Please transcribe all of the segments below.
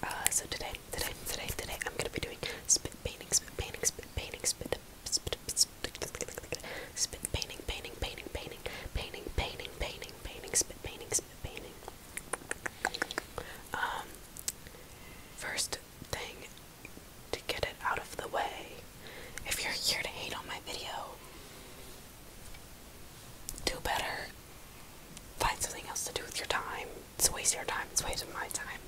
uh, so today, today, today, today, I'm gonna be doing spit painting, spit painting, spit painting, spit spit painting, painting, painting, painting, painting, painting, painting, painting, painting, painting. Um, first thing to get it out of the way. If you're here to hate on my video, do better. Find something else to do with your time. It's wasting your time, it's a my time.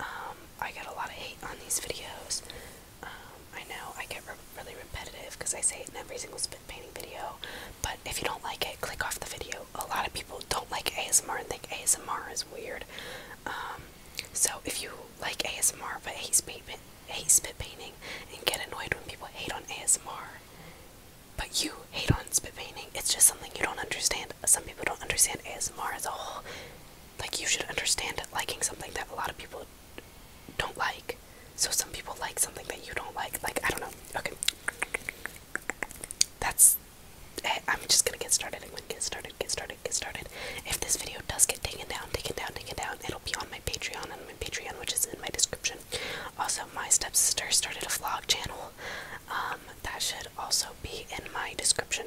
Um, I get a lot of hate on these videos. Um, I know I get really repetitive because I say it in every single spit painting video, but if you don't like it, click off the video. A lot of people don't like ASMR and think ASMR is weird. Um, so if you like ASMR but hate spit, hate spit painting and get annoyed when people hate on ASMR, but you hate on spit painting, it's just something you don't understand. Some people don't understand ASMR as a whole like you should understand liking something that a lot of people don't like. So some people like something that you don't like. Like I don't know. Okay. That's eh, I'm just gonna get started. I'm gonna get started, get started, get started. If this video does get taken down, taken down, taken down, it'll be on my Patreon and my Patreon, which is in my description. Also, my stepsister started a vlog channel. Um, that should also be in my description.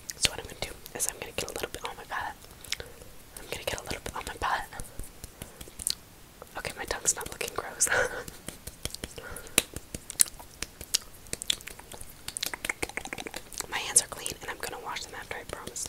So what I'm gonna do is I'm gonna get a little bit Oh my god! I'm gonna get a little bit on my palette. Okay, my tongue's not looking gross. my hands are clean and I'm gonna wash them after, I promise.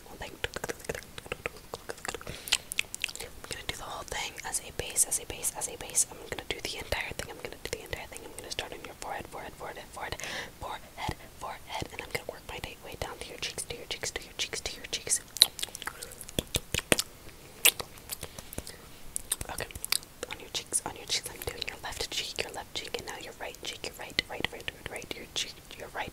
I'm gonna do the whole thing as a base, as a base, as a base. I'm gonna do the entire thing. I'm gonna do the entire thing. I'm gonna start on your forehead, forehead, forehead, forehead, forehead, forehead, and I'm gonna work my way down to your cheeks, to your cheeks, to your cheeks, to your cheeks. Okay, on your cheeks, on your cheeks. I'm doing your left cheek, your left cheek, and now your right cheek, your right, right, right, right, right, your cheek, your right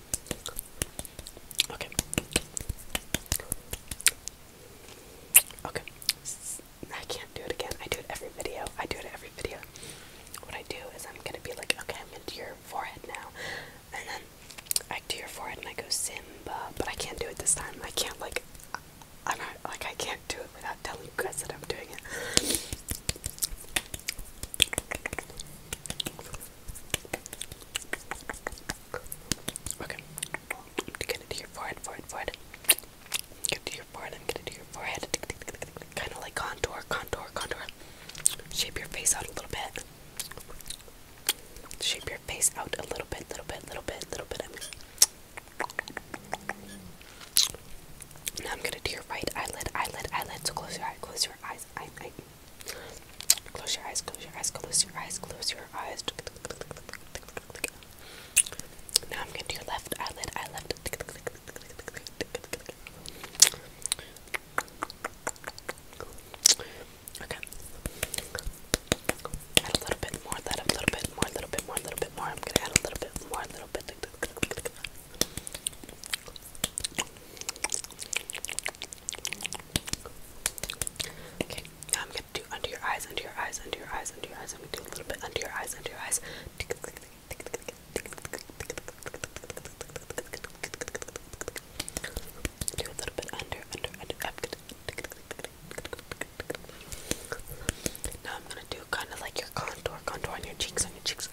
Okay. Okay. I can't do it again. I do it every video. I do it every video. What I do is I'm gonna be like, okay, I'm into your forehead now. And then I do your forehead and I go Simba, but I can't do it this time. I can't like I'm not like I can't do it without telling you guys that I'm doing it. Okay. Get it to your forehead, forehead, forehead. Get it to your forehead and get it to your forehead. Kind of like contour, contour, contour. Shape your face out a little bit. Shape your face out a little bit, little bit, little bit, little bit. I mean. Now I'm gonna do your right eyelid, eyelid, eyelid. So close your eye, close your eyes. I, I. Close your eyes, close your eyes, close your eyes, close your eyes. Now I'm gonna do your left eyelid, eyelid. Okay. Add a little bit more, that a little bit more, a little bit more, a little bit more. I'm gonna add a little bit more, A little bit. Okay, now I'm gonna do under your eyes, under your eyes, under your eyes, under your eyes. I'm gonna do a little bit under your eyes, under your eyes. Do a little bit under, under, under, up. Now I'm gonna do kind of like your contour, contour on your cheeks, on your cheeks.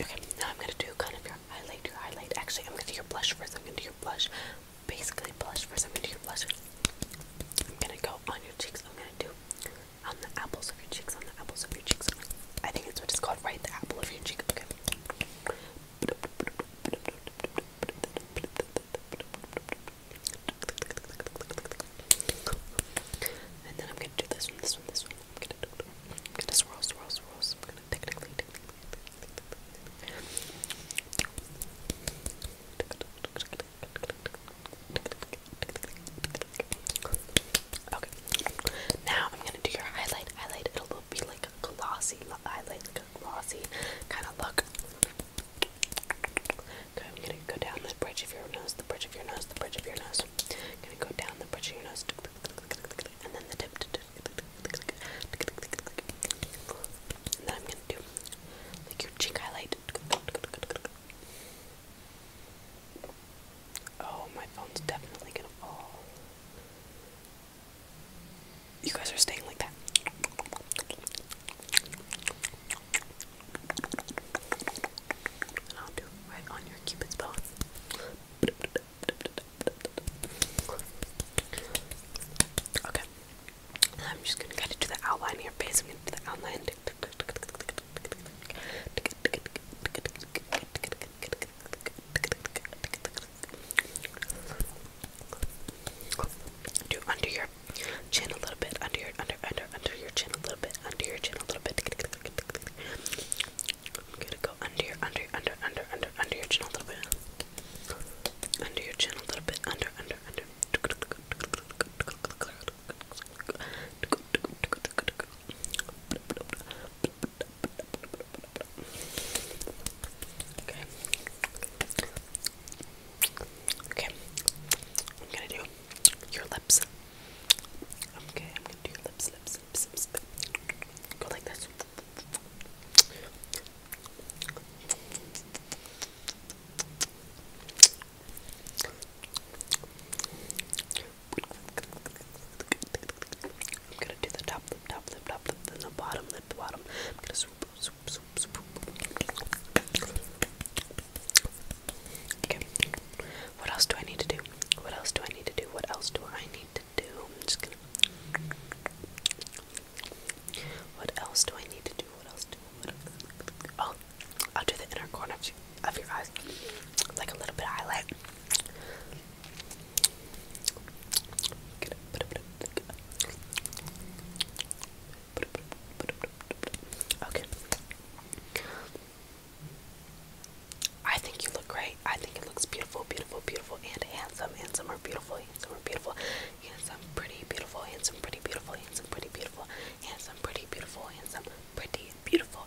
Okay, now I'm gonna do kind of your highlight, your highlight. Actually, I'm gonna do your blush first. I'm gonna do your blush, basically blush first. I'm gonna do your blush. I'm gonna go on your cheeks. I'm gonna do on the apples of your cheeks, on the apples of your cheeks. I think it's what called, right? The apple of your cheek. Okay. And then I'm gonna do this one, this one, this one. I'm gonna, do, do, I'm gonna swirl, swirl, swirl. So I'm gonna technically. Okay. Now I'm gonna do your highlight. Highlight. It'll be like a glossy I like a glossy kind of look. I'm gonna go down the bridge of your nose, the bridge of your nose, the bridge of your nose. gonna go down the bridge of your nose, and then the tip. And then I'm gonna do like your cheek highlight. Oh, my phone's definitely gonna fall. You guys are staying like that. I'll do right on your cupid's bow. Okay. I'm just gonna get into the outline of your face. I'm gonna do the outline. Do under your chin a little bit, under your under under under your chin a little bit, under your chin a little bit. I'm gonna go under your under under under under under your chin a little bit. Under your chin a little bit, under under under. Okay. Okay. I'm gonna do your lips. Okay, I'm gonna do your lips, lips, lips, lips. Go like this. I'm gonna do the top lip, top lip, top lip, then the bottom lip, the bottom. I'm gonna swoop, swoop, swoop, swoop. Okay. What else do I need to do? What else do I need to do? What else do I need to do? I'm just gonna. What else do I need to do? What else do? What else? Oh, I'll do the inner corner of your eyes, like a little bit of highlight. Okay. I think you look great. I think it looks beautiful, beautiful, beautiful, and handsome. Handsome or beautiful, handsome or beautiful, handsome, pretty, beautiful, handsome, pretty, beautiful, handsome, pretty, beautiful, handsome, pretty, beautiful, handsome, pretty, beautiful,